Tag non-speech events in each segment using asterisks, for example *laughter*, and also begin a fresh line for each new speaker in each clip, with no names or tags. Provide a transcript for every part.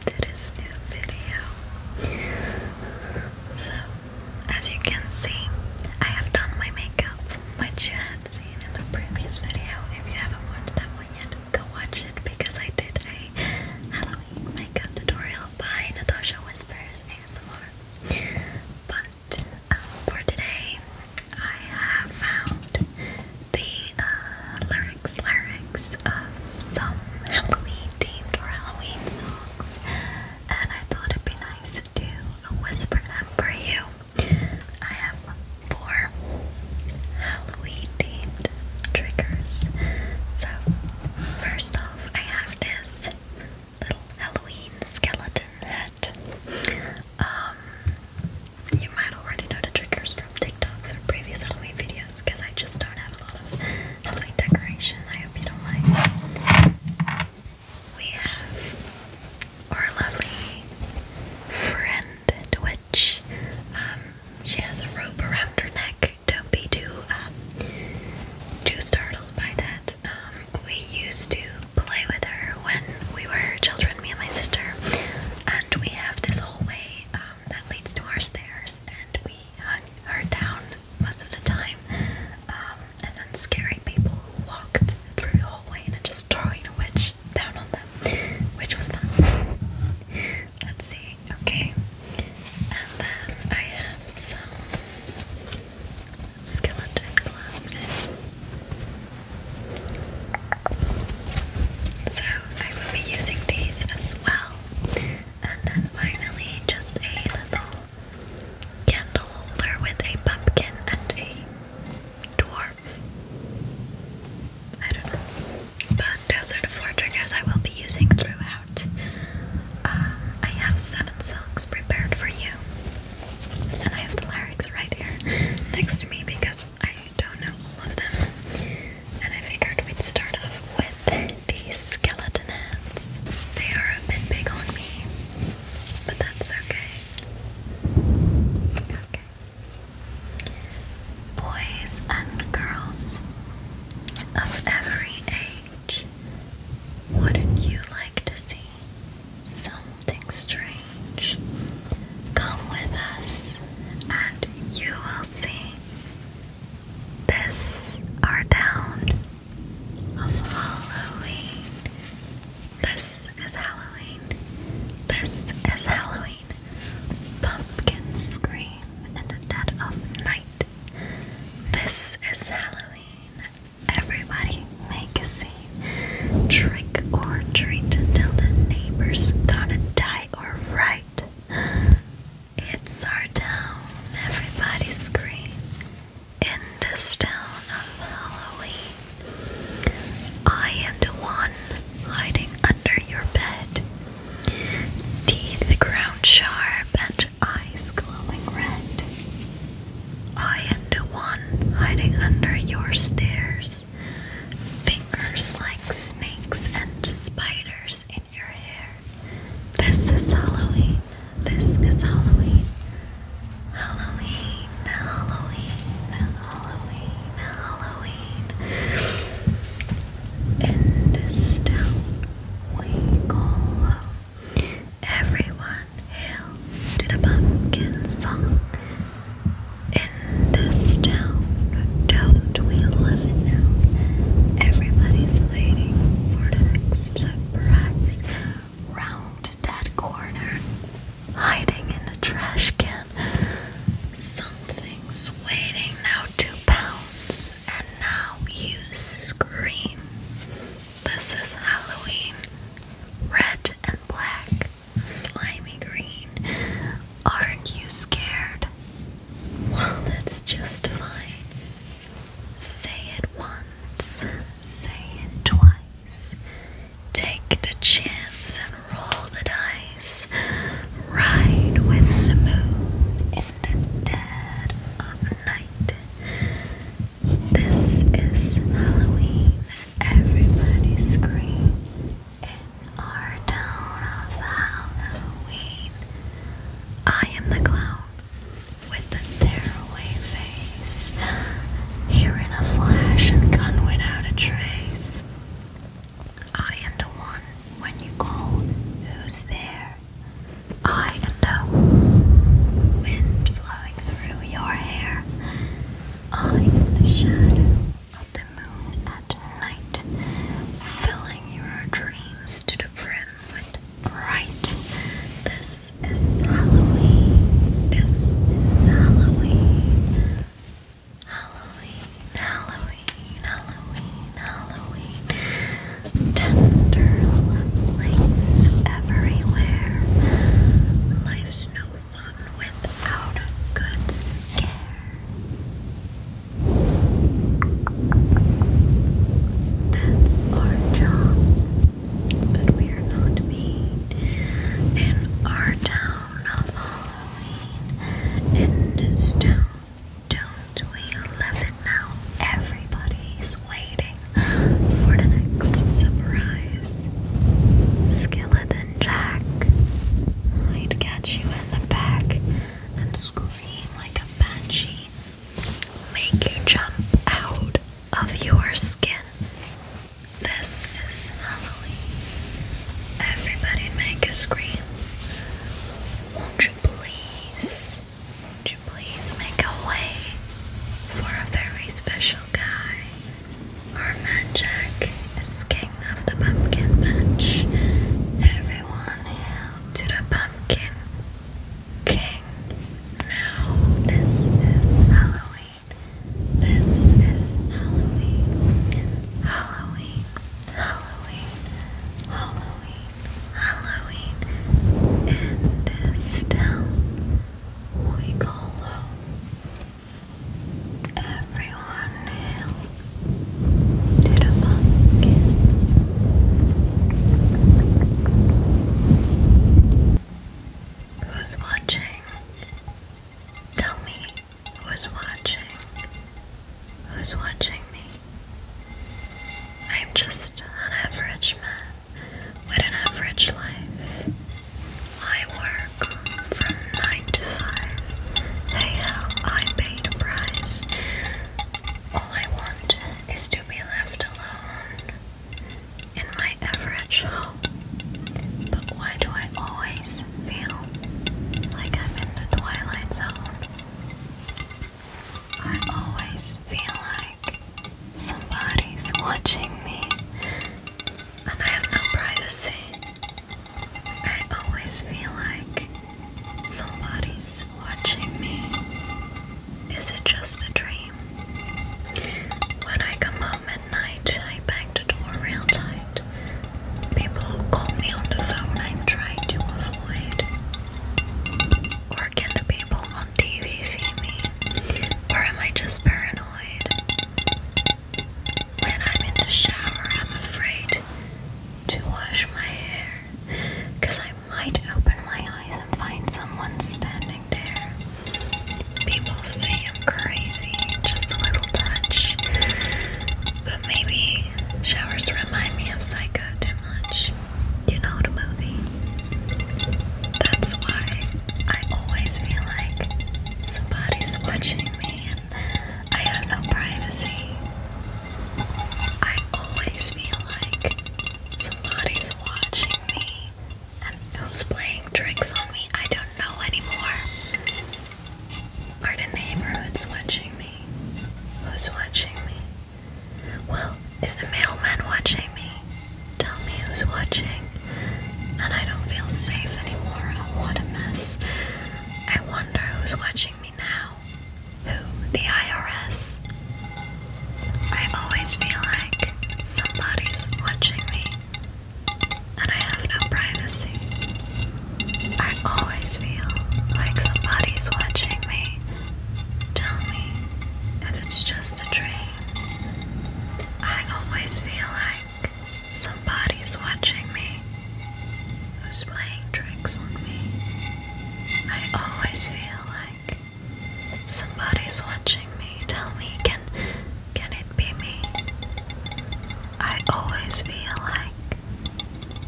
to this new video. So, as you can see, I have done my makeup, which you seen in the previous video. If you haven't watched that one yet, go watch it because I did a Halloween makeup tutorial by Natasha Whispers ASMR. But um, for today, I have found the lyrics uh, lyrics of some Halloween themed or Halloween songs, and I thought it'd be nice to do a whisper them for you. I have four Halloween themed triggers. So, first off, I have this little Halloween skeleton hat. Um, you might already know the triggers from TikToks or previous Halloween videos because I just don't have a decoration. I hope you don't mind. We have our lovely friend Twitch. Um, she has a rope around her neck. Don't be too um, too startled by that. Um, we used to play with her when we were children, me and my sister, and we have this hallway that leads to our stairs, and we hung her down most of the time, um, and then scaring people who walked through the hallway and just throwing a witch down on them, which was fun. *laughs* Let's see, okay. And then I have some skeleton gloves. So I will be using these as well. And then finally, just a little candle holder with a pumpkin and a dwarf. I don't know. But those are the four triggers I will be using throughout. Uh, I have seven songs prepared for you. And I have the lyrics right here next to me because I don't know all of them and I figured we'd start off with these skeleton hands. They are a bit big on me, but that's okay. Okay. Boys and girls of every age, wouldn't you like to see something strange? Come with us, and you will see this are down of Halloween. This is Halloween. This is Halloween. Pumpkins scream in the dead of night. This is Halloween. Everybody make a scene. Trick or treat until the neighbors gonna die or fright. It's our town, Everybody's scream. In this town of Halloween, I am the one hiding under your bed. Teeth ground sharp and eyes glowing red. I am the one hiding under your stairs. Fingers like snakes and spiders this is Halloween. This is Halloween. Halloween, Halloween, Halloween, Halloween. In this town we go Everyone hail to the pumpkin song. In this town, don't we love it now. Everybody's waiting for the next surprise. Round that corner, hiding in a trash can. Something's waiting now to pounce, and now you scream. This is Halloween. Red and black, slimy green. Aren't you scared? Well, that's just fine. Say it once, say it twice. Take the chance and roll the dice. Ride with the moon in the dead of night. This is Halloween. Everybody scream in our town of Halloween. I am the clown with the tearaway face, here in a flash and gone without a trace. I am the one when you call, who's there? I am the wind flowing through your hair. I am the shadow of the moon at night, filling your dreams to the brim. And right, this is Halloween. This is Halloween. Halloween, Halloween, Halloween, Halloween. Tender lumplings everywhere. Life's no fun without a good scare. That's our job, but we are not made in our town of Halloween. In this don't we love it now? Everybody's waiting for the next surprise. Skeleton Jack might catch you in the back and screw like a banshee make you jump out of your skin. This is Halloween. Everybody make a scream. Won't you please? Won't you please make a way for a very special guy? Our man Jack is king of the pumpkin patch. Everyone hail to the pumpkin. Pumpkin King. No, this is Halloween. This is Halloween. Halloween. Halloween. Halloween. Halloween. In this town we call Everyone hail Who's watching? Tell me who's watching. Who's watching me? I'm just an average man with an average life. I work from 9 to 5. Hey, hell, I paid a price. All I want is to be left alone in my average home. But why do I always feel like I'm in the twilight zone? I always feel like somebody's watching me and I have no privacy. I always feel like Somebody's watching me. Is it just a dream? When I come home at night, I bang the door real tight. People call me on the phone, I'm trying to avoid. Or can people on TV see me? Or am I just paranoid? When I'm in the shower, I'm afraid to wash my hair because I might open my eyes and find someone standing there. People say I'm crazy, just a little touch. But maybe showers remind me of Psycho too much. You know the movie. That's why I always feel like somebody's watching me and I have no privacy. I always feel like somebody's watching me and who's playing tricks on me. I don't know anymore. Are the neighborhoods watching me? Who's watching me? Well, is the mailman watching me? Tell me who's watching. And I don't feel safe anymore. what a mess. I wonder who's watching me now. Who? The IRS? I always feel like somebody's watching me and I have no privacy. I always feel like somebody's watching me. Tell me if it's just a dream. I always feel like somebody's watching me who's playing tricks on me. I always feel like somebody's watching me. Tell me, can can it be me? I always feel like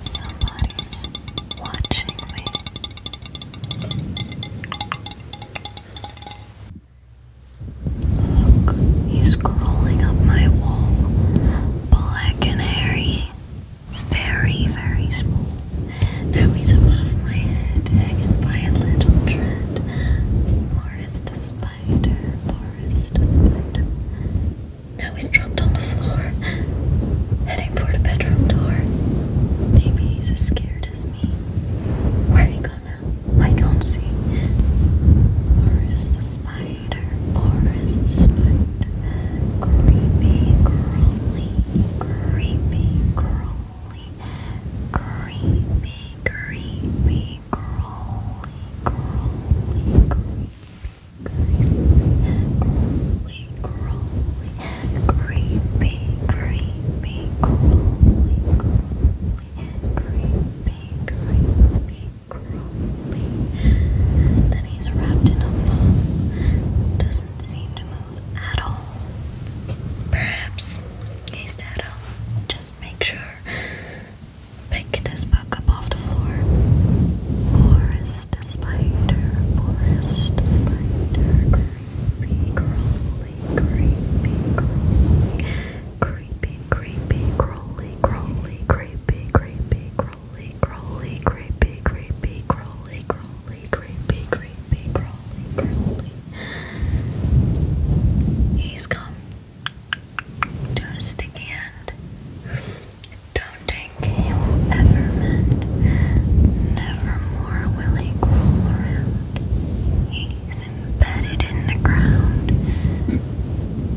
somebody's watching me. Look, he's crawling up my wall, black and hairy very, very small. Now he's above my head, hanging by a little thread. Morris the spider, Morris the spider. Now he's dropped on the floor, heading for the bedroom door. Maybe he's as scared as me. Where he gone now? I can't see. Morris the spider spider, forest spider, creepy, crawly, creepy, crawly, creepy, creepy, crawly, crawly, creepy, creepy, crawly, creepy, creepy, crawly that he's wrapped in a ball doesn't seem to move at all. Perhaps he said, I'll just make sure. Pick this book up off the floor. Forest spider, forest spider, creepy, crawly, creepy, crawly, creepy, creepy, crawly, crawly, creepy, creepy, crawly, crawly, crawly, creepy, creepy, crawly, crawly, creepy, creepy, crawly, crawly. He's come to a sticky end. Don't think he will ever mend. Never more will he crawl around. He's embedded in the ground.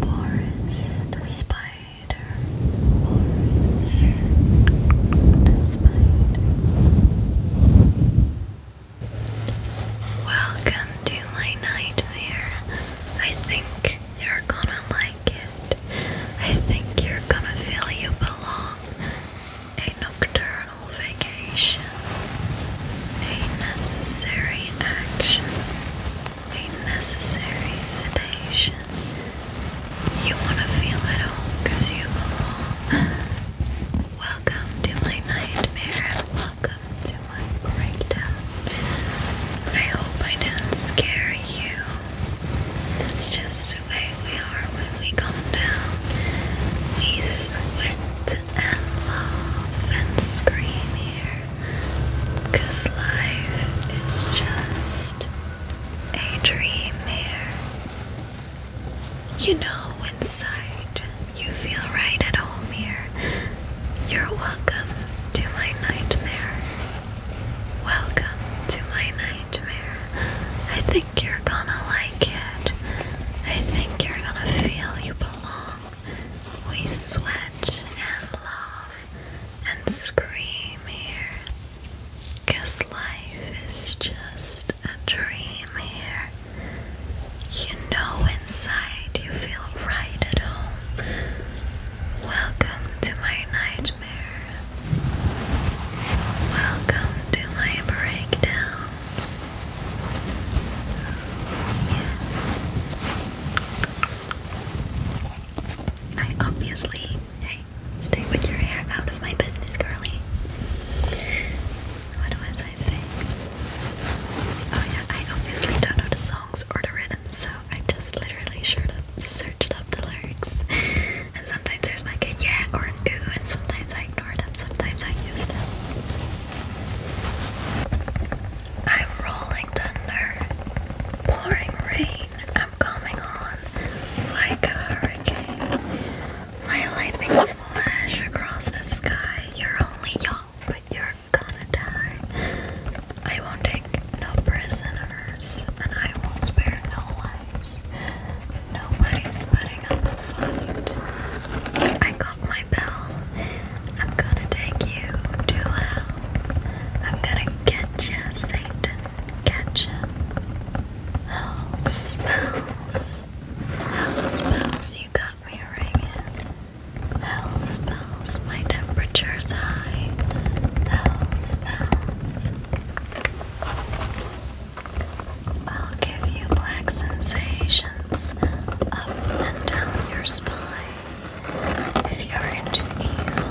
Boris, the spider spider, Welcome to my nightmare. I think you're gonna like it. I think you're gonna feel you belong. A nocturnal vacation. A necessary action a necessary sedation. You want to feel at home because you belong. Welcome to my nightmare and welcome to my breakdown. I hope I didn't scare you. That's just the way we are when we come down. We sweat and laugh and scream here. life is just a dream here. You know, inside, you feel right at home here. You're welcome to my nightmare. Welcome to my nightmare. I think you're gonna like it. I think you're gonna feel you belong. We sweat and laugh and scream here. Cause life is just a dream here. You know inside you feel right at home. Welcome to my nightmare. Welcome to my breakdown. I obviously, hey, stay with your hair out of my business, girly. What was I saying? Oh yeah, I obviously don't know the songs or the rhythms, so I just literally searched up the lyrics. And sometimes there's like a yeah or an ooh, and sometimes I ignore them, sometimes I use them. I'm rolling thunder, pouring rain, I'm coming on like a hurricane. My lightnings flash across the sky. You're only young, but you're gonna die. I won't take no prisoners, and I won't spare no lives. Nobody's putting up fight. I got my bell. I'm gonna take you to hell. I'm gonna get you, Satan. Ketchup. Oh, spells. Hell spells, you got me ringing. Hell spells, my temperature's high. Hell spells. I'll give you black sensations up and down your spine. If you're into evil,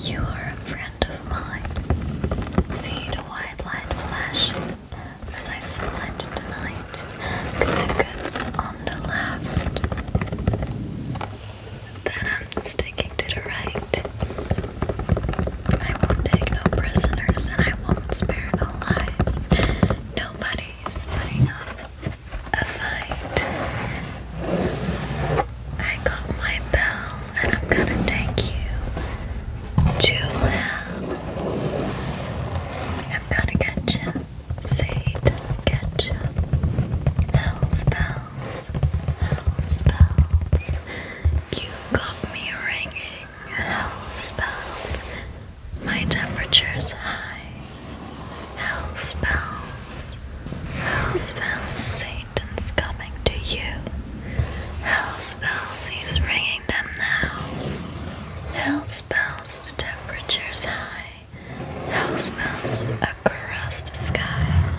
you are a friend of mine. See the white light flashing as I split tonight, cause it gets on the left. Then I'm sticking to the right. I won't take no prisoners and I won't spare no lives. Nobody is putting up a fight. I got my bell, and I'm gonna take you to hell. I'm gonna get you, Satan, get you. Hell's bells, hell's You got me ringing, hell's bells. My temperature's high. Hellspells, hellspells, Satan's coming to you. Hellspells, he's ringing them now. Hellspells, the temperature's high. Hellspells across the sky.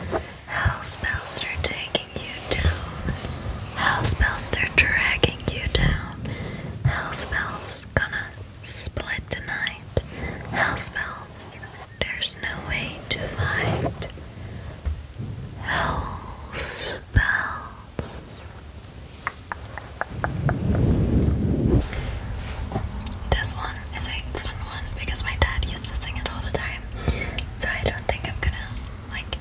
Hellspells, they're taking you down. Hellspells, they're dragging you down. Hellspells, gonna split tonight. night. Hellspells, there's no way to find hell spells. This one is a fun one because my dad used to sing it all the time, so I don't think I'm gonna like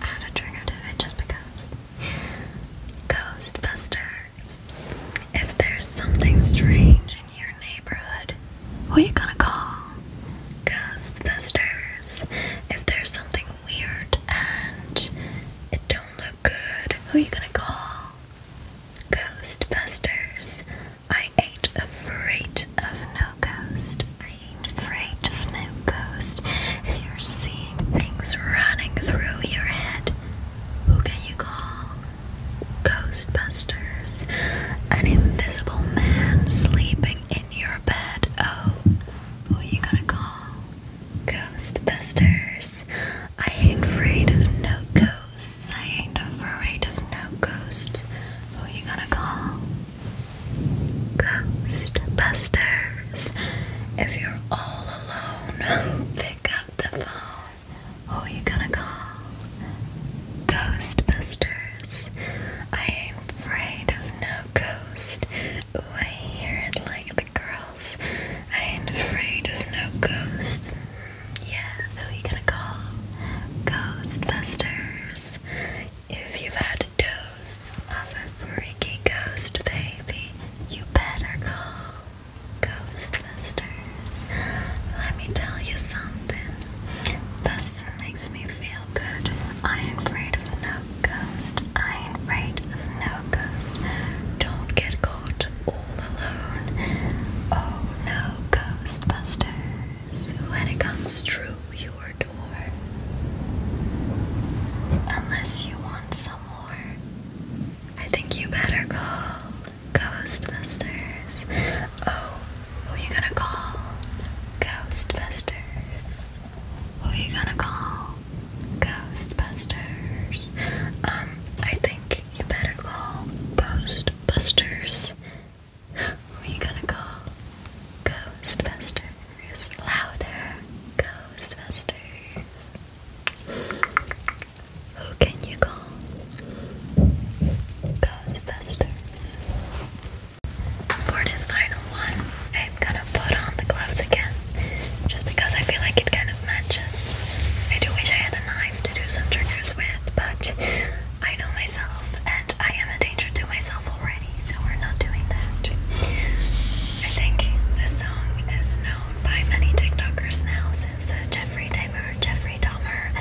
add a trigger to it just because. Ghostbusters. If there's something strange who are you gonna call? Ghostbusters. If there's something weird and it don't look good, who you gonna call? Ghost I ain't afraid of no ghost. I ain't afraid of no ghost. If you're seeing things running through your head, who can you call? Ghostbusters, an invisible man sleeping in your bed. Oh, who you gonna call? Ghostbusters. I ain't afraid of no ghosts. I ain't afraid of no ghosts. Who you gonna call? Ghostbusters. If you're all alone, *laughs* pick up the phone. Who oh, you gonna call? Ghostbusters. I ain't afraid of no ghost. Ooh, I hear it like the girls. I ain't afraid of no ghosts. Mm, yeah, who you gonna call? Ghostbusters. If you've had a dose of a freaky ghost baby, you better call Ghostbusters sisters, let me tell you something. This makes me feel good. I ain't afraid of no ghost. I ain't afraid of no ghost. Don't get caught all alone. Oh no, Ghostbusters. When it comes through your door. Unless you want some more, I think you better call Ghostbusters. Oh, who you gonna call? Ghostbusters. Who you gonna call? Ghostbusters. Um, I think you better call Ghostbusters. Who you gonna call? Ghostbusters. Louder. Ghostbusters. Who can you call? Ghostbusters. For this final one, I'm gonna put on the gloves again, just because I feel like it kind of matches. I do wish I had a knife to do some triggers with, but I know myself and I am a danger to myself already, so we're not doing that. I think this song is known by many TikTokers now since uh, Jeffrey Dahmer, Jeffrey Dahmer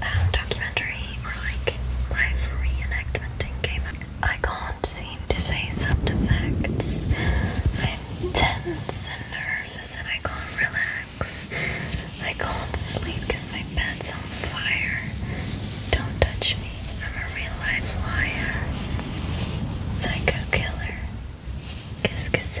um, documentary or like live reenactment thing I can't seem to face up to facts. I'm tense and nervous and I can't relax. I can't sleep because my bed's on fire. Don't touch me. I'm a real life liar. Psycho killer. Kiss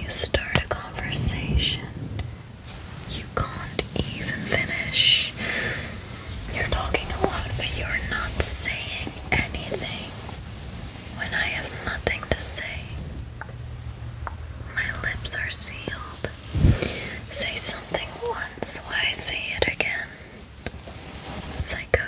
You start a conversation you can't even finish. You're talking a lot, but you're not saying anything. When I have nothing to say, my lips are sealed. Say something once, why say it again? Psycho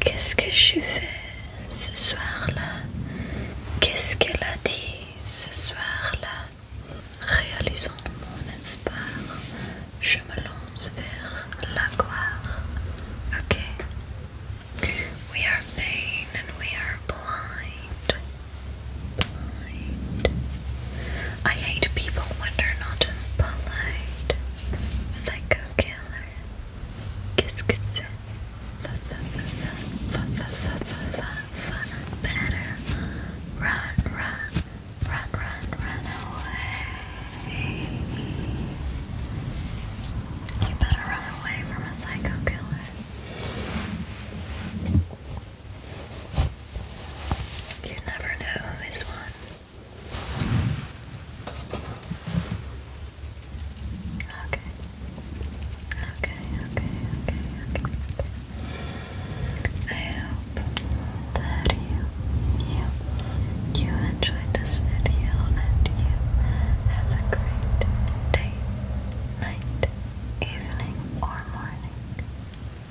Qu'est-ce que je fais ce soir-là Qu'est-ce qu'elle a dit ce soir-là Réalisons mon espoir, je me lance vers gloire Ok. We are vain and we are blind. Blind. I hate people when they're not polite. Psycho killer. Kiss run, run, run, run, run away. You better run away from a psycho killer. You never know who is one. Okay. Okay, okay, okay, okay. I hope that you, you, you enjoyed this video and you have a great day, night, evening, or morning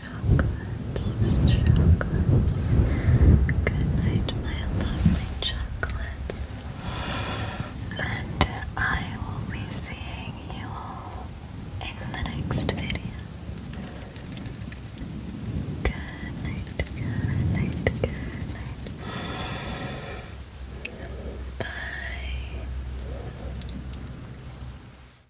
chocolates, chocolates. Good night, my lovely chocolates. And I will be seeing you all in the next video. Good night, good night, good night. Bye.